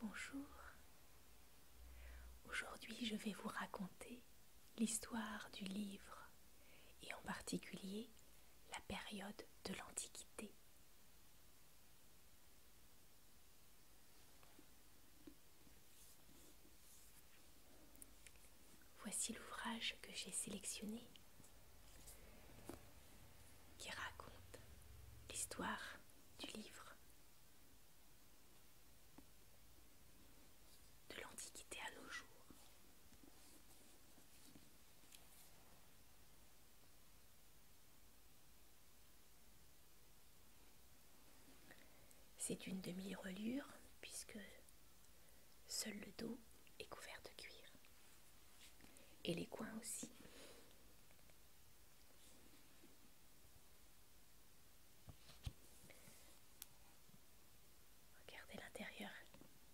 Bonjour. Aujourd'hui je vais vous raconter l'histoire du livre et en particulier la période de l'Antiquité. Voici l'ouvrage que j'ai sélectionné qui raconte l'histoire du livre de l'Antiquité à nos jours. C'est une demi-relure puisque seul le dos est couvert de cuir et les coins aussi. Regardez l'intérieur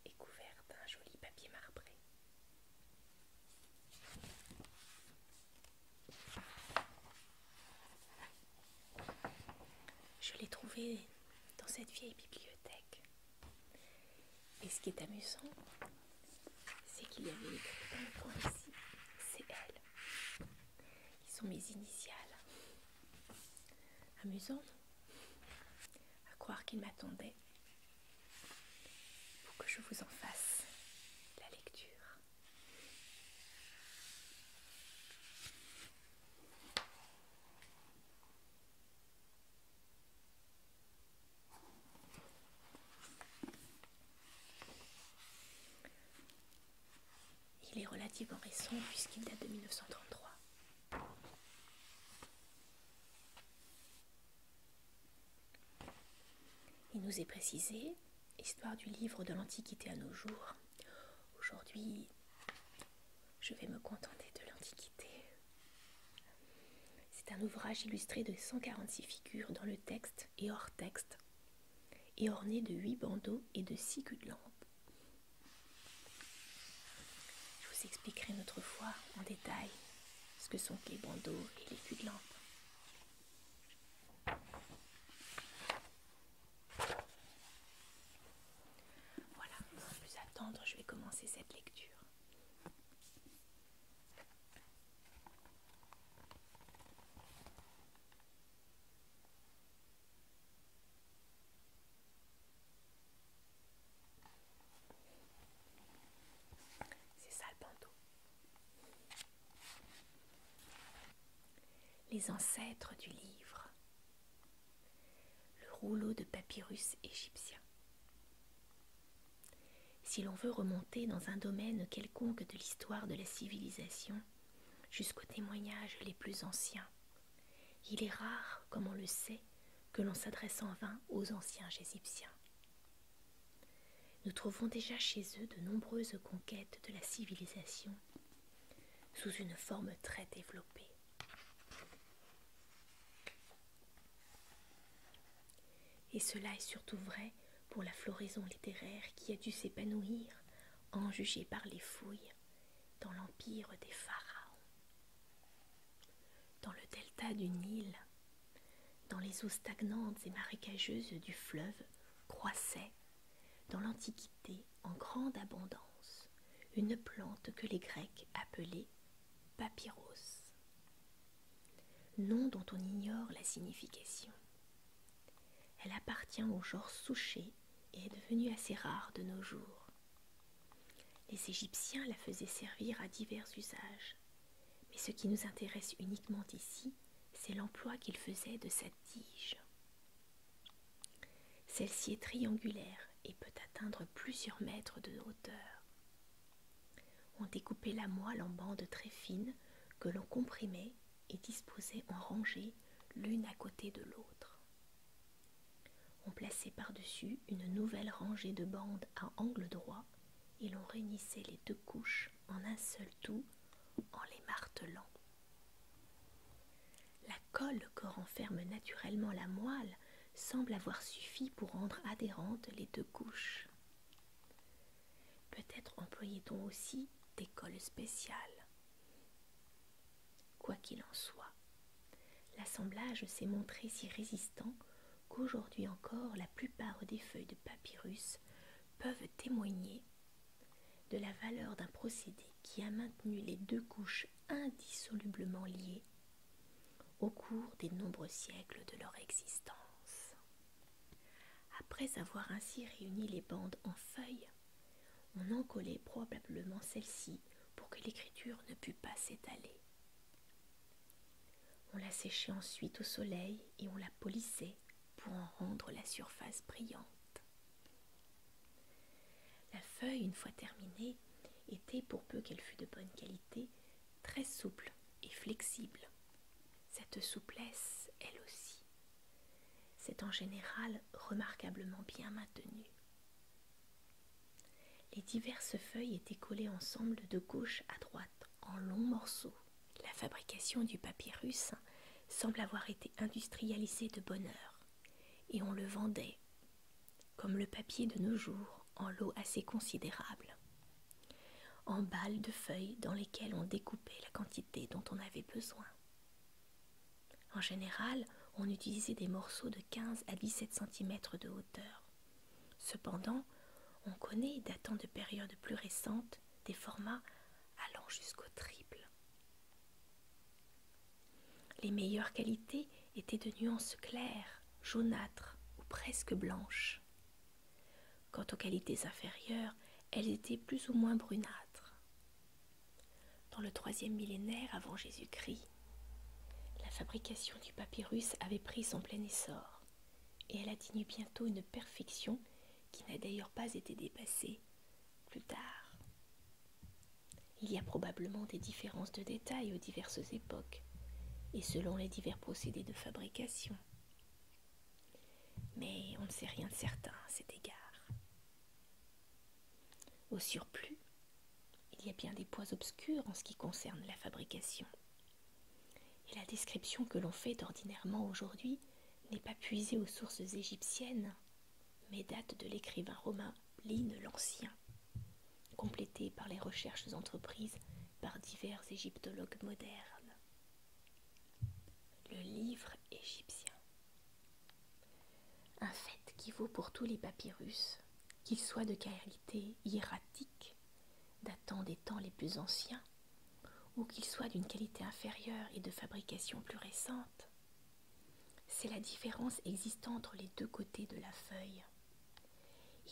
est couvert d'un joli papier marbré. Je l'ai trouvé dans cette vieille bibliothèque. Et ce qui est amusant, c'est qu'il y avait une dans le coin c'est elle ils sont mes initiales. Amusant, non À croire qu'il m'attendait pour que je vous en fasse la lecture. Il est relativement récent puisqu'il date de 1933. Il nous est précisé, histoire du livre de l'Antiquité à nos jours. Aujourd'hui, je vais me contenter de l'Antiquité. C'est un ouvrage illustré de 146 figures dans le texte et hors texte et orné de huit bandeaux et de six culs de lampe. Je vous expliquerai une autre fois en détail ce que sont les bandeaux et les culs de lampe. Voilà, sans plus attendre, je vais commencer cette lecture. C'est ça Les ancêtres du livre. Le rouleau de papyrus égyptien. Si l'on veut remonter dans un domaine quelconque de l'histoire de la civilisation, jusqu'aux témoignages les plus anciens, il est rare, comme on le sait, que l'on s'adresse en vain aux anciens Égyptiens. Nous trouvons déjà chez eux de nombreuses conquêtes de la civilisation sous une forme très développée. Et cela est surtout vrai pour la floraison littéraire qui a dû s'épanouir, en jugée par les fouilles, dans l'empire des pharaons. Dans le delta du Nil, dans les eaux stagnantes et marécageuses du fleuve, croissait, dans l'Antiquité, en grande abondance, une plante que les Grecs appelaient papyros nom dont on ignore la signification. Elle appartient au genre souché et est devenue assez rare de nos jours. Les Égyptiens la faisaient servir à divers usages, mais ce qui nous intéresse uniquement ici, c'est l'emploi qu'ils faisaient de sa tige. Celle-ci est triangulaire et peut atteindre plusieurs mètres de hauteur. On découpait la moelle en bandes très fines que l'on comprimait et disposait en rangées l'une à côté de l'autre. On plaçait par-dessus une nouvelle rangée de bandes à angle droit et l'on réunissait les deux couches en un seul tout en les martelant. La colle que renferme naturellement la moelle semble avoir suffi pour rendre adhérentes les deux couches. Peut-être employait-on aussi des cols spéciales. Quoi qu'il en soit, l'assemblage s'est montré si résistant qu'aujourd'hui encore la plupart des feuilles de papyrus peuvent témoigner de la valeur d'un procédé qui a maintenu les deux couches indissolublement liées au cours des nombreux siècles de leur existence. Après avoir ainsi réuni les bandes en feuilles, on encollait probablement celle ci pour que l'écriture ne pût pas s'étaler. On la séchait ensuite au soleil et on la polissait pour en rendre la surface brillante. La feuille, une fois terminée, était, pour peu qu'elle fût de bonne qualité, très souple et flexible. Cette souplesse, elle aussi, c'est en général remarquablement bien maintenue. Les diverses feuilles étaient collées ensemble de gauche à droite en longs morceaux. La fabrication du papyrus semble avoir été industrialisée de bonne heure, et on le vendait, comme le papier de nos jours, en lots assez considérables en balles de feuilles dans lesquelles on découpait la quantité dont on avait besoin. En général, on utilisait des morceaux de 15 à 17 cm de hauteur. Cependant, on connaît, datant de périodes plus récentes, des formats allant jusqu'au triple. Les meilleures qualités étaient de nuances claires, jaunâtres ou presque blanches. Quant aux qualités inférieures, elles étaient plus ou moins brunâtres. Dans le troisième millénaire avant Jésus-Christ, la fabrication du papyrus avait pris son plein essor, et elle atteignit bientôt une perfection qui n'a d'ailleurs pas été dépassée plus tard. Il y a probablement des différences de détails aux diverses époques, et selon les divers procédés de fabrication. Mais on ne sait rien de certain à cet égard. Au surplus, il y a bien des points obscurs en ce qui concerne la fabrication. Et la description que l'on fait ordinairement aujourd'hui n'est pas puisée aux sources égyptiennes, mais date de l'écrivain romain Plin l'Ancien, complétée par les recherches entreprises par divers égyptologues modernes le livre égyptien. Un fait qui vaut pour tous les papyrus, qu'ils soient de qualité hiératique, datant des temps les plus anciens, ou qu'ils soient d'une qualité inférieure et de fabrication plus récente, c'est la différence existant entre les deux côtés de la feuille.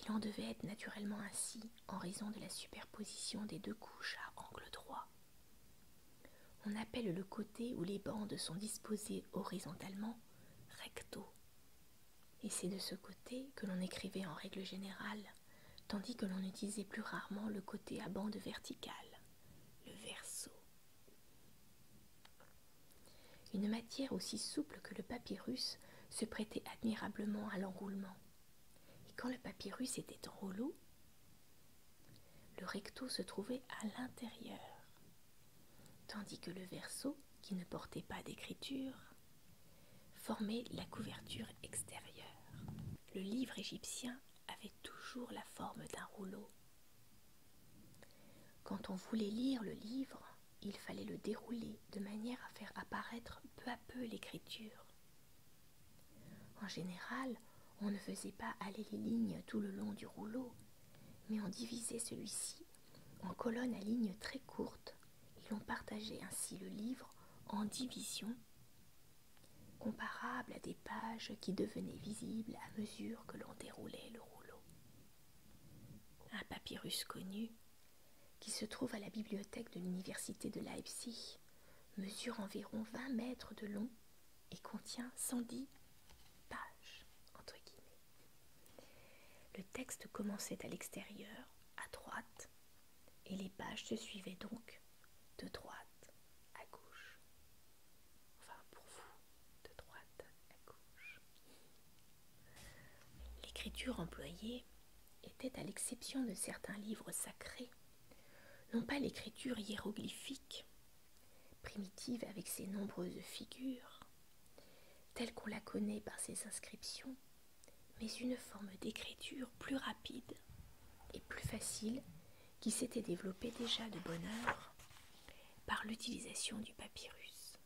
Il en devait être naturellement ainsi, en raison de la superposition des deux couches à angle droit. On appelle le côté où les bandes sont disposées horizontalement recto. Et c'est de ce côté que l'on écrivait en règle générale, tandis que l'on utilisait plus rarement le côté à bandes verticales, le verso. Une matière aussi souple que le papyrus se prêtait admirablement à l'enroulement. Et quand le papyrus était en rouleau, le recto se trouvait à l'intérieur, tandis que le verso, qui ne portait pas d'écriture, formait la couverture extérieure. Le livre égyptien avait toujours la forme d'un rouleau. Quand on voulait lire le livre, il fallait le dérouler de manière à faire apparaître peu à peu l'écriture. En général, on ne faisait pas aller les lignes tout le long du rouleau, mais on divisait celui-ci en colonnes à lignes très courtes et l'on partageait ainsi le livre en divisions, comparables à des pages qui devenaient visibles à mesure que l'on déroulait le rouleau. Un papyrus connu, qui se trouve à la bibliothèque de l'université de Leipzig, mesure environ 20 mètres de long et contient 110 pages. Entre guillemets. Le texte commençait à l'extérieur, à droite, et les pages se suivaient donc de droite à gauche. Enfin, pour vous, de droite à gauche. L'écriture employée était, à l'exception de certains livres sacrés, non pas l'écriture hiéroglyphique, primitive avec ses nombreuses figures, telle qu'on la connaît par ses inscriptions, mais une forme d'écriture plus rapide et plus facile qui s'était développée déjà de bonne heure par l'utilisation du papyrus.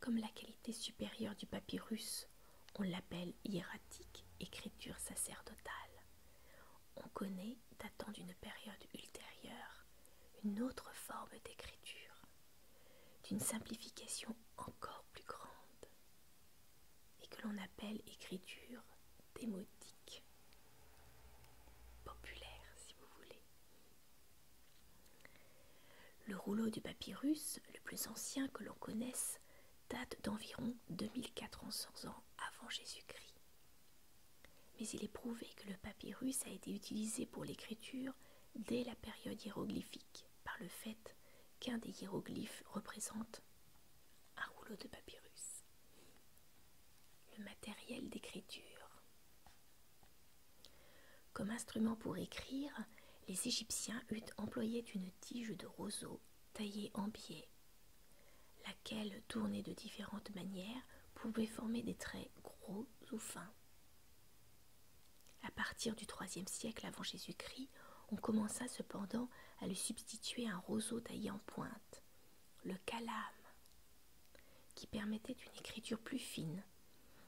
Comme la qualité supérieure du papyrus on l'appelle hiératique, écriture sacerdotale. On connaît, datant d'une période ultérieure, une autre forme d'écriture, d'une simplification encore plus grande, et que l'on appelle écriture démotique, populaire si vous voulez. Le rouleau du papyrus, le plus ancien que l'on connaisse, date d'environ 2400 ans avant Jésus-Christ. Mais il est prouvé que le papyrus a été utilisé pour l'écriture dès la période hiéroglyphique par le fait qu'un des hiéroglyphes représente un rouleau de papyrus. Le matériel d'écriture. Comme instrument pour écrire, les Égyptiens employé une tige de roseau taillée en biais, laquelle, tournée de différentes manières, pouvait former des traits gros ou fins. À partir du troisième siècle avant Jésus-Christ, on commença cependant à lui substituer un roseau taillé en pointe, le calame, qui permettait une écriture plus fine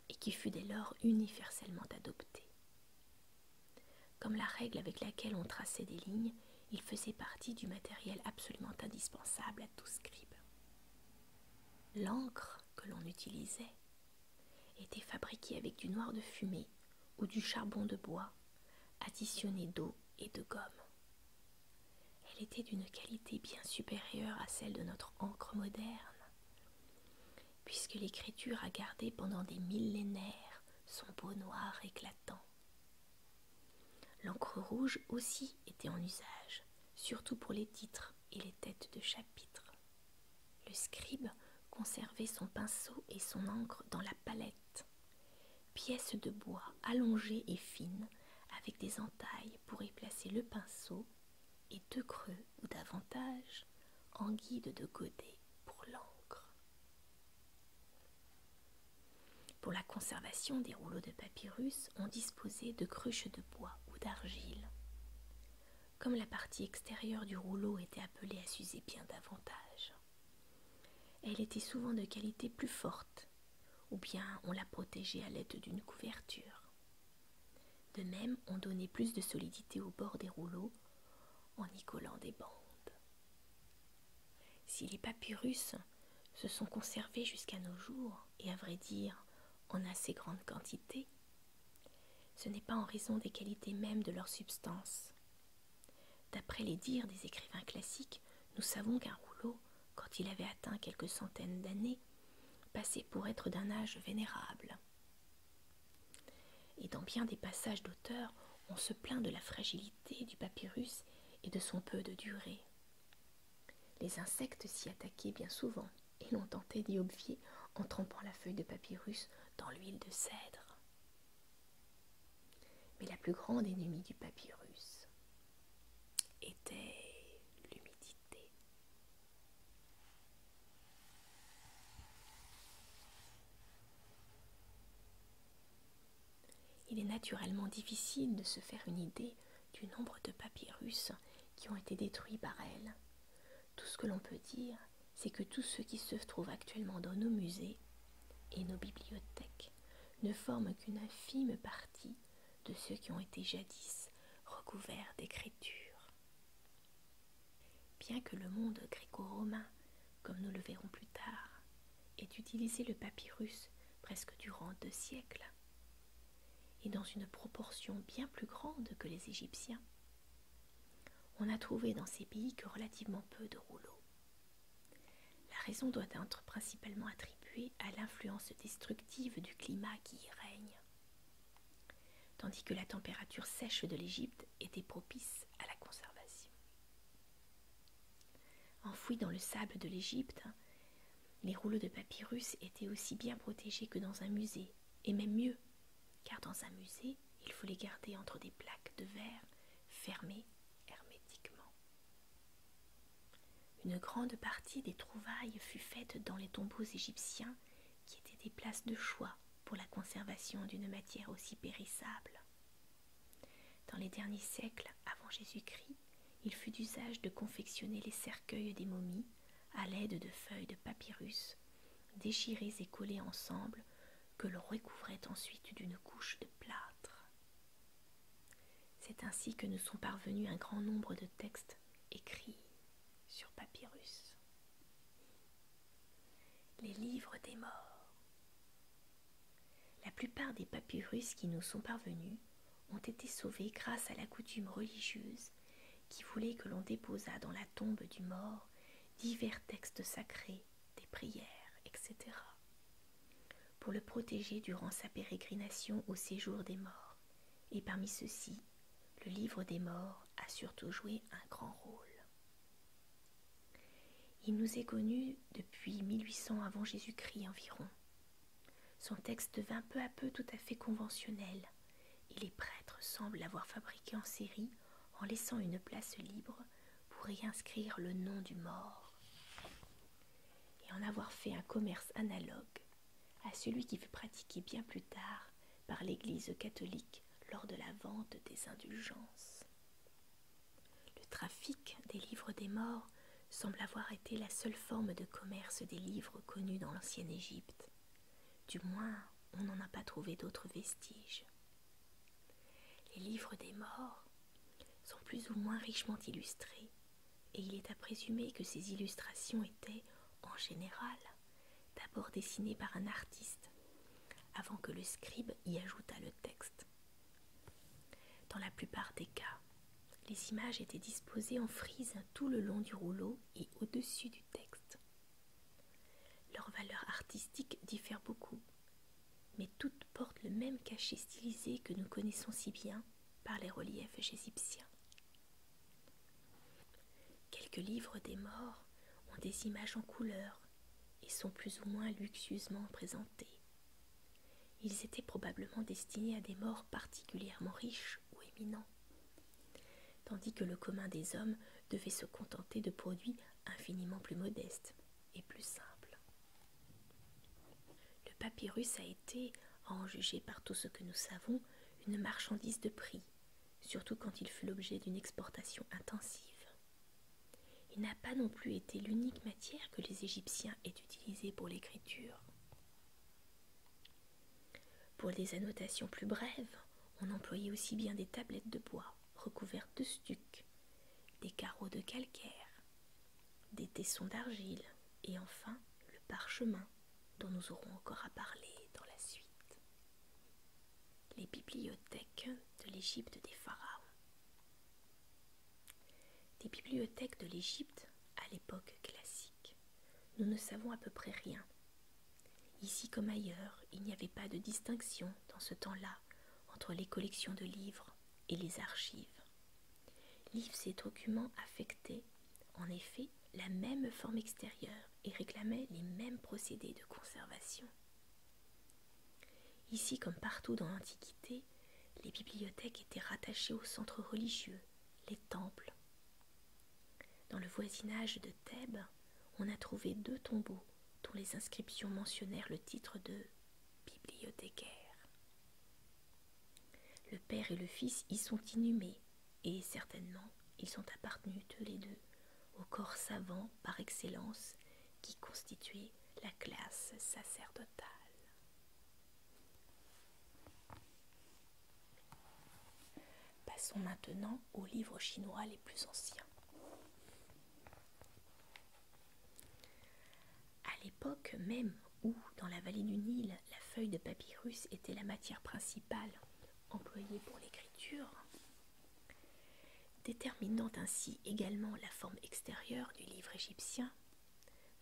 et qui fut dès lors universellement adoptée. Comme la règle avec laquelle on traçait des lignes, il faisait partie du matériel absolument indispensable à tout scribe. L'encre que l'on utilisait était fabriquée avec du noir de fumée ou du charbon de bois, additionné d'eau et de gomme. Elle était d'une qualité bien supérieure à celle de notre encre moderne, puisque l'écriture a gardé pendant des millénaires son beau noir éclatant. L'encre rouge aussi était en usage, surtout pour les titres et les têtes de chapitres. Le scribe conservait son pinceau et son encre dans la palette, pièce de bois allongée et fine, avec des entailles pour y placer le pinceau et deux creux ou davantage en guide de godet pour l'encre. Pour la conservation des rouleaux de papyrus, on disposait de cruches de bois ou d'argile. Comme la partie extérieure du rouleau était appelée à s'user bien davantage, elle était souvent de qualité plus forte, ou bien on la protégeait à l'aide d'une couverture. De même, on donnait plus de solidité au bord des rouleaux en y collant des bandes. Si les papyrus se sont conservés jusqu'à nos jours, et à vrai dire en assez grande quantité, ce n'est pas en raison des qualités mêmes de leur substance. D'après les dires des écrivains classiques, nous savons qu'un rouleau, quand il avait atteint quelques centaines d'années, passait pour être d'un âge vénérable. Et dans bien des passages d'auteurs, on se plaint de la fragilité du papyrus et de son peu de durée. Les insectes s'y attaquaient bien souvent et l'on tentait d'y obvier en trempant la feuille de papyrus dans l'huile de cèdre. Mais la plus grande ennemie du papyrus était l'humidité. Il est naturellement difficile de se faire une idée du nombre de papyrus qui ont été détruits par elle. Tout ce que l'on peut dire, c'est que tout ce qui se trouve actuellement dans nos musées et nos bibliothèques ne forment qu'une infime partie de ceux qui ont été jadis recouverts d'écriture. Bien que le monde gréco-romain, comme nous le verrons plus tard, ait utilisé le papyrus presque durant deux siècles, et dans une proportion bien plus grande que les Égyptiens, on n'a trouvé dans ces pays que relativement peu de rouleaux. La raison doit être principalement attribuée à l'influence destructive du climat qui y règne, tandis que la température sèche de l'Égypte était propice à la conservation. Enfouis dans le sable de l'Égypte, les rouleaux de papyrus étaient aussi bien protégés que dans un musée, et même mieux, car dans un musée, il faut les garder entre des plaques de verre fermées hermétiquement. Une grande partie des trouvailles fut faite dans les tombeaux égyptiens qui étaient des places de choix pour la conservation d'une matière aussi périssable. Dans les derniers siècles avant Jésus-Christ, il fut d'usage de confectionner les cercueils des momies à l'aide de feuilles de papyrus, déchirées et collées ensemble, que l'on recouvrait ensuite d'une couche de plâtre. C'est ainsi que nous sont parvenus un grand nombre de textes écrits sur papyrus les livres des morts. La plupart des papyrus qui nous sont parvenus ont été sauvés grâce à la coutume religieuse qui voulait que l'on déposât dans la tombe du mort divers textes sacrés, des prières, etc., pour le protéger durant sa pérégrination au séjour des morts. Et parmi ceux-ci, le livre des morts a surtout joué un grand rôle. Il nous est connu depuis 1800 avant Jésus-Christ environ. Son texte devint peu à peu tout à fait conventionnel, et les prêtres semblent l'avoir fabriqué en série en laissant une place libre pour y inscrire le nom du mort, et en avoir fait un commerce analogue à celui qui fut pratiqué bien plus tard par l'Église catholique lors de la vente des indulgences. Le trafic des livres des morts semble avoir été la seule forme de commerce des livres connue dans l'ancienne Égypte. Du moins, on n'en a pas trouvé d'autres vestiges. Les livres des morts sont plus ou moins richement illustrés, et il est à présumer que ces illustrations étaient, en général, d'abord dessinées par un artiste avant que le scribe y ajoutât le texte. Dans la plupart des cas, les images étaient disposées en frise tout le long du rouleau et au-dessus du texte. Leur valeur artistique diffère beaucoup, mais toutes portent le même cachet stylisé que nous connaissons si bien par les reliefs égyptiens. Quelques livres des morts ont des images en couleur et sont plus ou moins luxueusement présentés. Ils étaient probablement destinés à des morts particulièrement riches ou éminents, tandis que le commun des hommes devait se contenter de produits infiniment plus modestes et plus simples. Le papyrus a été, à en juger par tout ce que nous savons, une marchandise de prix, surtout quand il fut l'objet d'une exportation intensive. Il n'a pas non plus été l'unique matière que les Égyptiens aient utilisée pour l'écriture. Pour des annotations plus brèves, on employait aussi bien des tablettes de bois recouvertes de stuc, des carreaux de calcaire, des tessons d'argile et enfin le parchemin dont nous aurons encore à parler dans la suite les bibliothèques de l'Égypte des pharaons. Des bibliothèques de l'Égypte à l'époque classique, nous ne savons à peu près rien. Ici comme ailleurs, il n'y avait pas de distinction dans ce temps-là entre les collections de livres et les archives. Livres et documents affectaient, en effet, la même forme extérieure et réclamaient les mêmes procédés de conservation. Ici, comme partout dans l'Antiquité, les bibliothèques étaient rattachées au centre religieux, les temples. Dans le voisinage de Thèbes, on a trouvé deux tombeaux dont les inscriptions mentionnèrent le titre de bibliothécaire. Le père et le fils y sont inhumés, et certainement ils sont appartenus tous les deux au corps savant par excellence qui constituait la classe sacerdotale. Passons maintenant aux livres chinois les plus anciens. À l'époque même où, dans la vallée du Nil, la feuille de papyrus était la matière principale employée pour l'écriture, Déterminant ainsi également la forme extérieure du livre égyptien,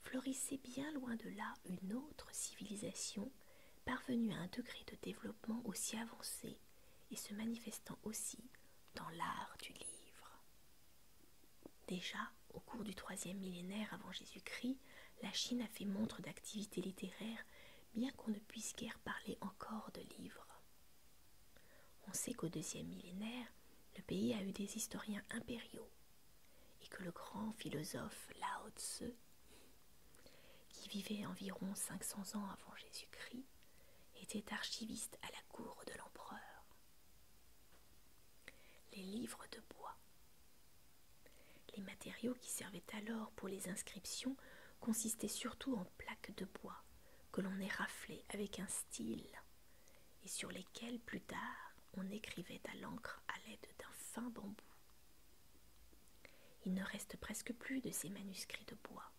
florissait bien loin de là une autre civilisation parvenue à un degré de développement aussi avancé et se manifestant aussi dans l'art du livre. Déjà, au cours du troisième millénaire avant Jésus-Christ, la Chine a fait montre d'activités littéraires bien qu'on ne puisse guère parler encore de livres. On sait qu'au deuxième millénaire, le pays a eu des historiens impériaux et que le grand philosophe Lao Tse, qui vivait environ 500 ans avant Jésus-Christ, était archiviste à la cour de l'empereur. Les livres de bois. Les matériaux qui servaient alors pour les inscriptions consistaient surtout en plaques de bois, que l'on est raflé avec un style et sur lesquels plus tard on écrivait à l'encre à l'aide d'un fin bambou. Il ne reste presque plus de ces manuscrits de bois.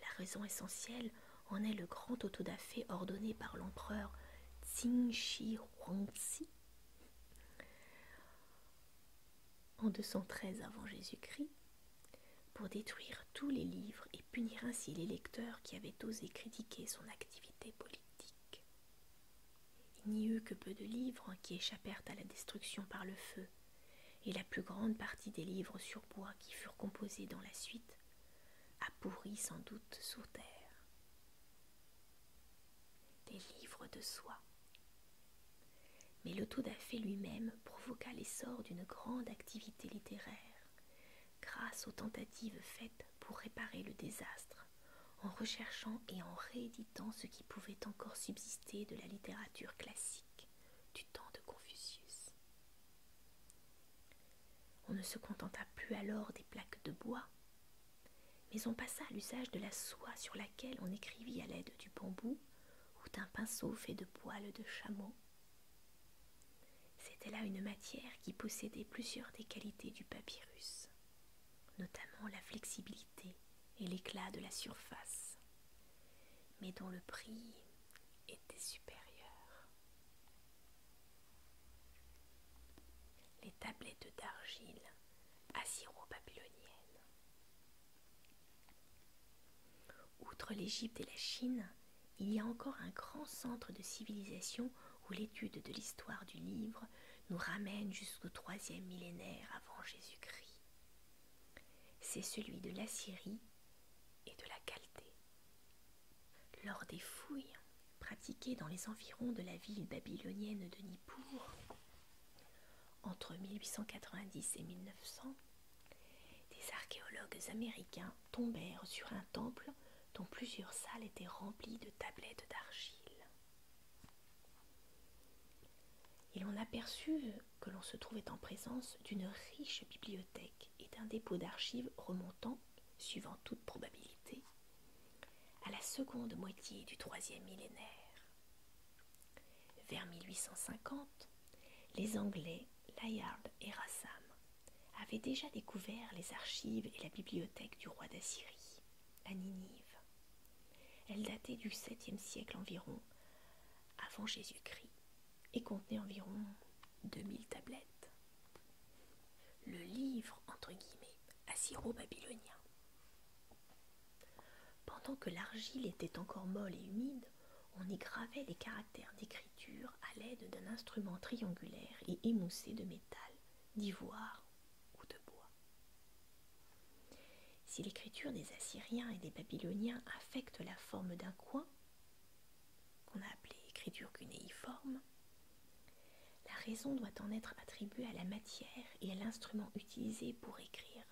La raison essentielle en est le grand autodafé ordonné par l'empereur Xingxi Shi en 213 avant Jésus-Christ pour détruire tous les livres et punir ainsi les lecteurs qui avaient osé critiquer son activité politique. Il n'y eut que peu de livres qui échappèrent à la destruction par le feu, et la plus grande partie des livres sur bois qui furent composés dans la suite a pourri sans doute sous terre. Des livres de soie. Mais le tout lui-même provoqua l'essor d'une grande activité littéraire, grâce aux tentatives faites pour réparer le désastre, en recherchant et en rééditant ce qui pouvait encore subsister de la littérature classique du temps de Confucius. On ne se contenta plus alors des plaques de bois, mais on passa à l'usage de la soie sur laquelle on écrivit à l'aide du bambou ou d'un pinceau fait de poils de chameau c'était là une matière qui possédait plusieurs des qualités du papyrus, notamment la flexibilité et l'éclat de la surface, mais dont le prix était supérieur. Les tablettes d'argile assyro-babylonienne Outre l'Égypte et la Chine, il y a encore un grand centre de civilisation où l'étude de l'histoire du livre nous ramène jusqu'au troisième millénaire avant Jésus-Christ. C'est celui de l'Assyrie et de la Chaldée. Lors des fouilles pratiquées dans les environs de la ville babylonienne de Nippur, entre 1890 et 1900, des archéologues américains tombèrent sur un temple dont plusieurs salles étaient remplies de tablettes d'argile. Et l'on aperçut que l'on se trouvait en présence d'une riche bibliothèque et d'un dépôt d'archives remontant, suivant toute probabilité, à la seconde moitié du troisième millénaire. Vers 1850, les Anglais Layard et Rassam avaient déjà découvert les archives et la bibliothèque du roi d'Assyrie, à Ninive. Elle datait du 7 siècle environ, avant Jésus-Christ, et contenait environ 2000 tablettes. Le livre, entre guillemets, assyro-babylonien. Pendant que l'argile était encore molle et humide, on y gravait les caractères d'écriture à l'aide d'un instrument triangulaire et émoussé de métal, d'ivoire ou de bois. Si l'écriture des Assyriens et des Babyloniens affecte la forme d'un coin, qu'on a appelé écriture cunéiforme, la raison doit en être attribuée à la matière et à l'instrument utilisé pour écrire,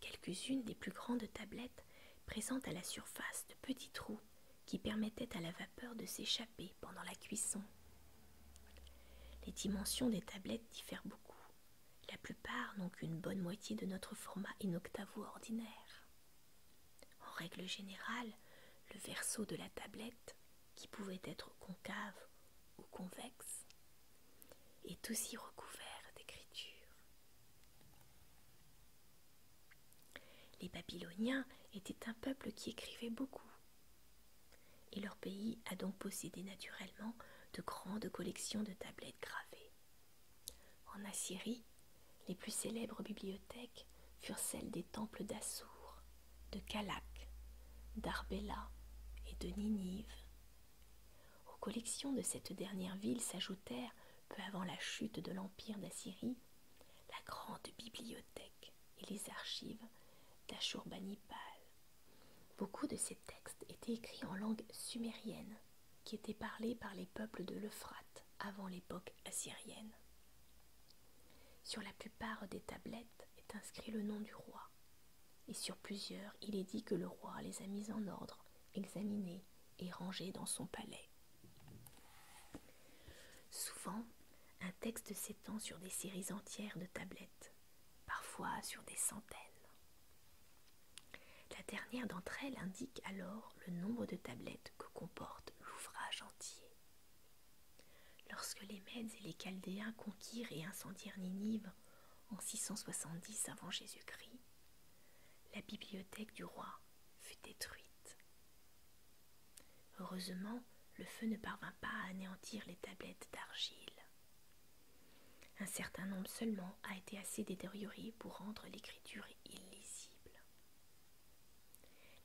Quelques-unes des plus grandes tablettes présentent à la surface de petits trous qui permettaient à la vapeur de s'échapper pendant la cuisson. Les dimensions des tablettes diffèrent beaucoup. La plupart n'ont qu'une bonne moitié de notre format octavo ordinaire. En règle générale, le verso de la tablette, qui pouvait être concave ou convexe, est aussi recouvert d'écriture. Les Babyloniens étaient un peuple qui écrivait beaucoup, et leur pays a donc possédé naturellement de grandes collections de tablettes gravées. En Assyrie, les plus célèbres bibliothèques furent celles des temples d'Assour, de Calak, d'Arbela et de Ninive. Aux collections de cette dernière ville s'ajoutèrent peu avant la chute de l'Empire d'Assyrie, la grande bibliothèque et les archives d'Ashurbanipal. Beaucoup de ces textes étaient écrits en langue sumérienne, qui était parlée par les peuples de l'Euphrate avant l'époque assyrienne. Sur la plupart des tablettes est inscrit le nom du roi, et sur plusieurs il est dit que le roi les a mises en ordre, examinés est rangé dans son palais. Souvent, un texte s'étend sur des séries entières de tablettes, parfois sur des centaines. La dernière d'entre elles indique alors le nombre de tablettes que comporte l'ouvrage entier. Lorsque les Mèdes et les Chaldéens conquirent et incendièrent Ninive en 670 avant Jésus-Christ, la bibliothèque du roi fut détruite. Heureusement, le feu ne parvint pas à anéantir les tablettes d'argile. Un certain nombre seulement a été assez détérioré pour rendre l'écriture illisible.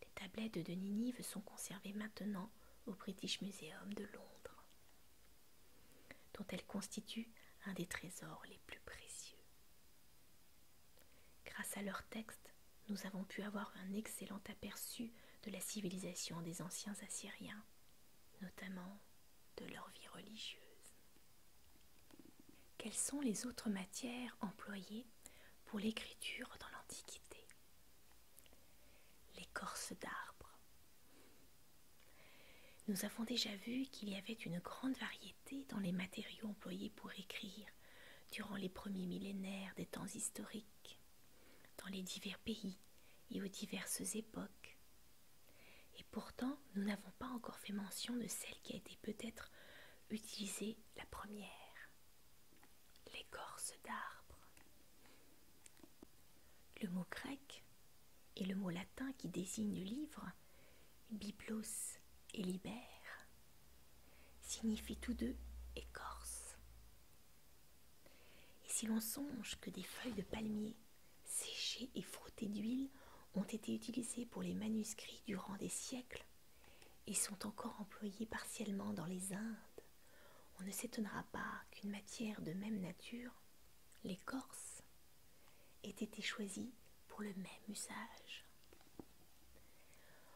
Les tablettes de Ninive sont conservées maintenant au British Museum de Londres, dont elles constituent un des trésors les plus précieux. Grâce à leurs textes, nous avons pu avoir un excellent aperçu de la civilisation des anciens Assyriens, notamment de leur vie religieuse. Quelles sont les autres matières employées pour l'écriture dans l'Antiquité L'écorce d'arbre. Nous avons déjà vu qu'il y avait une grande variété dans les matériaux employés pour écrire durant les premiers millénaires des temps historiques, dans les divers pays et aux diverses époques. Et pourtant, nous n'avons pas encore fait mention de celle qui a été peut-être utilisée la première, l'écorce d'arbre. Le mot grec et le mot latin qui désigne livre Biplos et libère, signifient tous deux écorce. Et si l'on songe que des feuilles de palmier séchées et frottées d'huile ont été utilisées pour les manuscrits durant des siècles et sont encore employées partiellement dans les Indes, on ne s'étonnera pas qu'une matière de même nature, l'écorce, aient été choisis pour le même usage.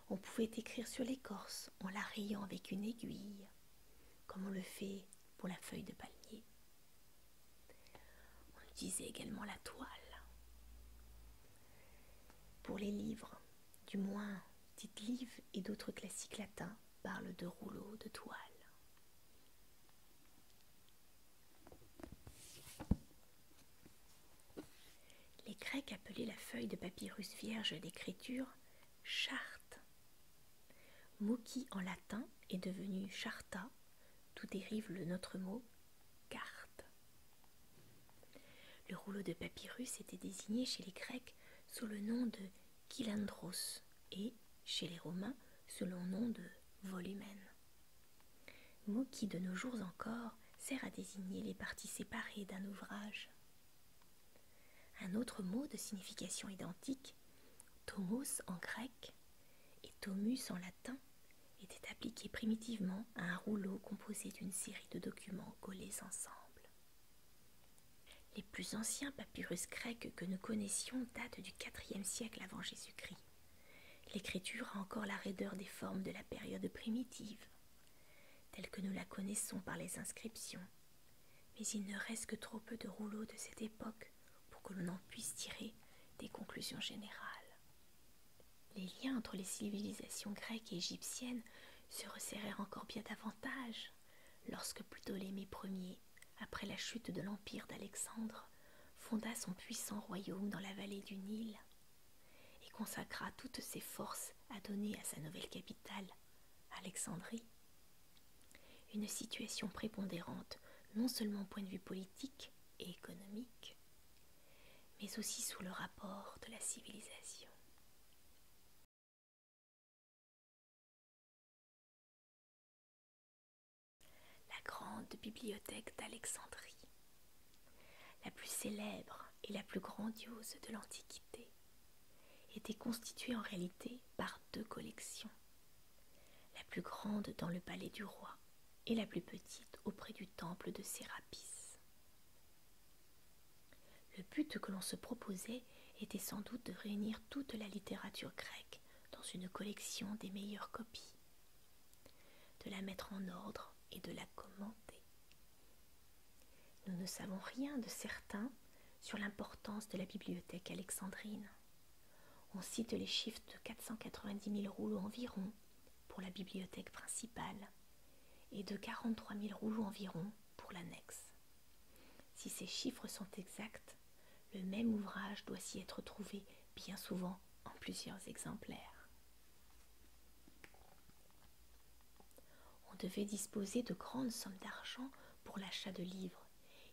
On pouvait écrire sur l'écorce en la rayant avec une aiguille, comme on le fait pour la feuille de palmier. On utilisait également la toile. Pour les livres, du moins Tite Liv et d'autres classiques latins parlent de rouleaux de toile. Les Grecs appelaient la feuille de papyrus vierge d'écriture charte. Mouki en latin est devenu charta, d'où dérive le notre mot carte. Le rouleau de papyrus était désigné chez les Grecs sous le nom de Kylandros et chez les Romains sous le nom de volumen mot qui de nos jours encore sert à désigner les parties séparées d'un ouvrage. Un autre mot de signification identique, tomos en grec et tomus en latin, était appliqué primitivement à un rouleau composé d'une série de documents collés ensemble. Les plus anciens papyrus grecs que nous connaissions datent du IVe siècle avant Jésus-Christ. L'écriture a encore la raideur des formes de la période primitive, telle que nous la connaissons par les inscriptions, mais il ne reste que trop peu de rouleaux de cette époque pour que l'on en puisse tirer des conclusions générales. Les liens entre les civilisations grecques et égyptiennes se resserrèrent encore bien davantage lorsque Plutolémée Ier, après la chute de l'empire d'Alexandre, fonda son puissant royaume dans la vallée du Nil et consacra toutes ses forces à donner à sa nouvelle capitale, Alexandrie. Une situation prépondérante non seulement au point de vue politique et économique, mais aussi sous le rapport de la civilisation. La grande bibliothèque d'Alexandrie, la plus célèbre et la plus grandiose de l'Antiquité, était constituée en réalité par deux collections, la plus grande dans le palais du roi et la plus petite auprès du temple de Sérapis. Le but que l'on se proposait était sans doute de réunir toute la littérature grecque dans une collection des meilleures copies de la mettre en ordre et de la commenter. Nous ne savons rien de certain sur l'importance de la bibliothèque alexandrine. On cite les chiffres de 490 000 rouleaux environ pour la bibliothèque principale et de 43 000 rouleaux environ pour l'annexe. Si ces chiffres sont exacts, le même ouvrage doit s'y être trouvé bien souvent en plusieurs exemplaires. On devait disposer de grandes sommes d'argent pour l'achat de livres,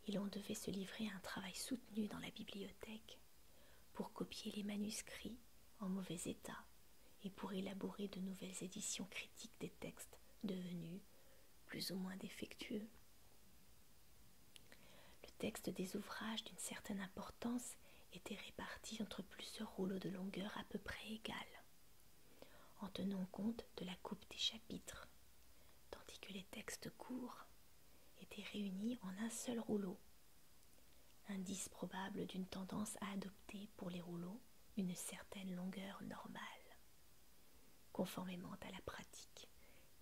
et l'on devait se livrer à un travail soutenu dans la bibliothèque pour copier les manuscrits en mauvais état et pour élaborer de nouvelles éditions critiques des textes devenus plus ou moins défectueux. Le texte des ouvrages d'une certaine importance était réparti entre plusieurs rouleaux de longueur à peu près égale, en tenant compte de la coupe des chapitres, tandis que les textes courts étaient réunis en un seul rouleau. Indice probable d'une tendance à adopter pour les rouleaux une certaine longueur normale, conformément à la pratique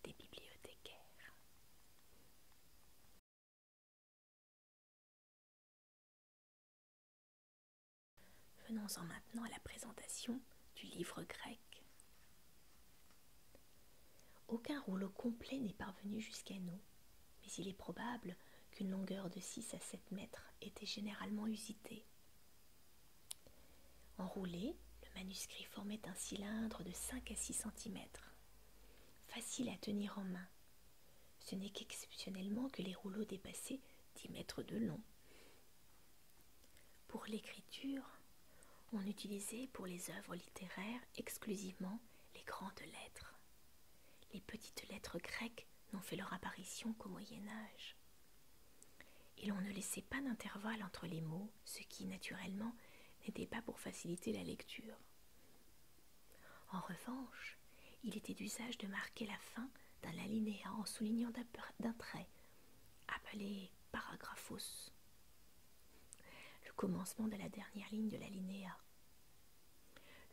des bibliothécaires. Venons-en maintenant à la présentation du livre grec. Aucun rouleau complet n'est parvenu jusqu'à nous, mais il est probable qu'une longueur de 6 à 7 mètres était généralement usitée. Enroulé, le manuscrit formait un cylindre de 5 à 6 centimètres facile à tenir en main. Ce n'est qu'exceptionnellement que les rouleaux dépassaient dix mètres de long. Pour l'écriture, on utilisait pour les œuvres littéraires exclusivement les grandes lettres. Les petites lettres grecques n'ont fait leur apparition qu'au Moyen Âge. Et l'on ne laissait pas d'intervalle entre les mots, ce qui, naturellement, n'était pas pour faciliter la lecture. En revanche, il était d'usage de marquer la fin d'un alinéa en soulignant d'un trait, appelé paragraphos, le commencement de la dernière ligne de l'alinéa.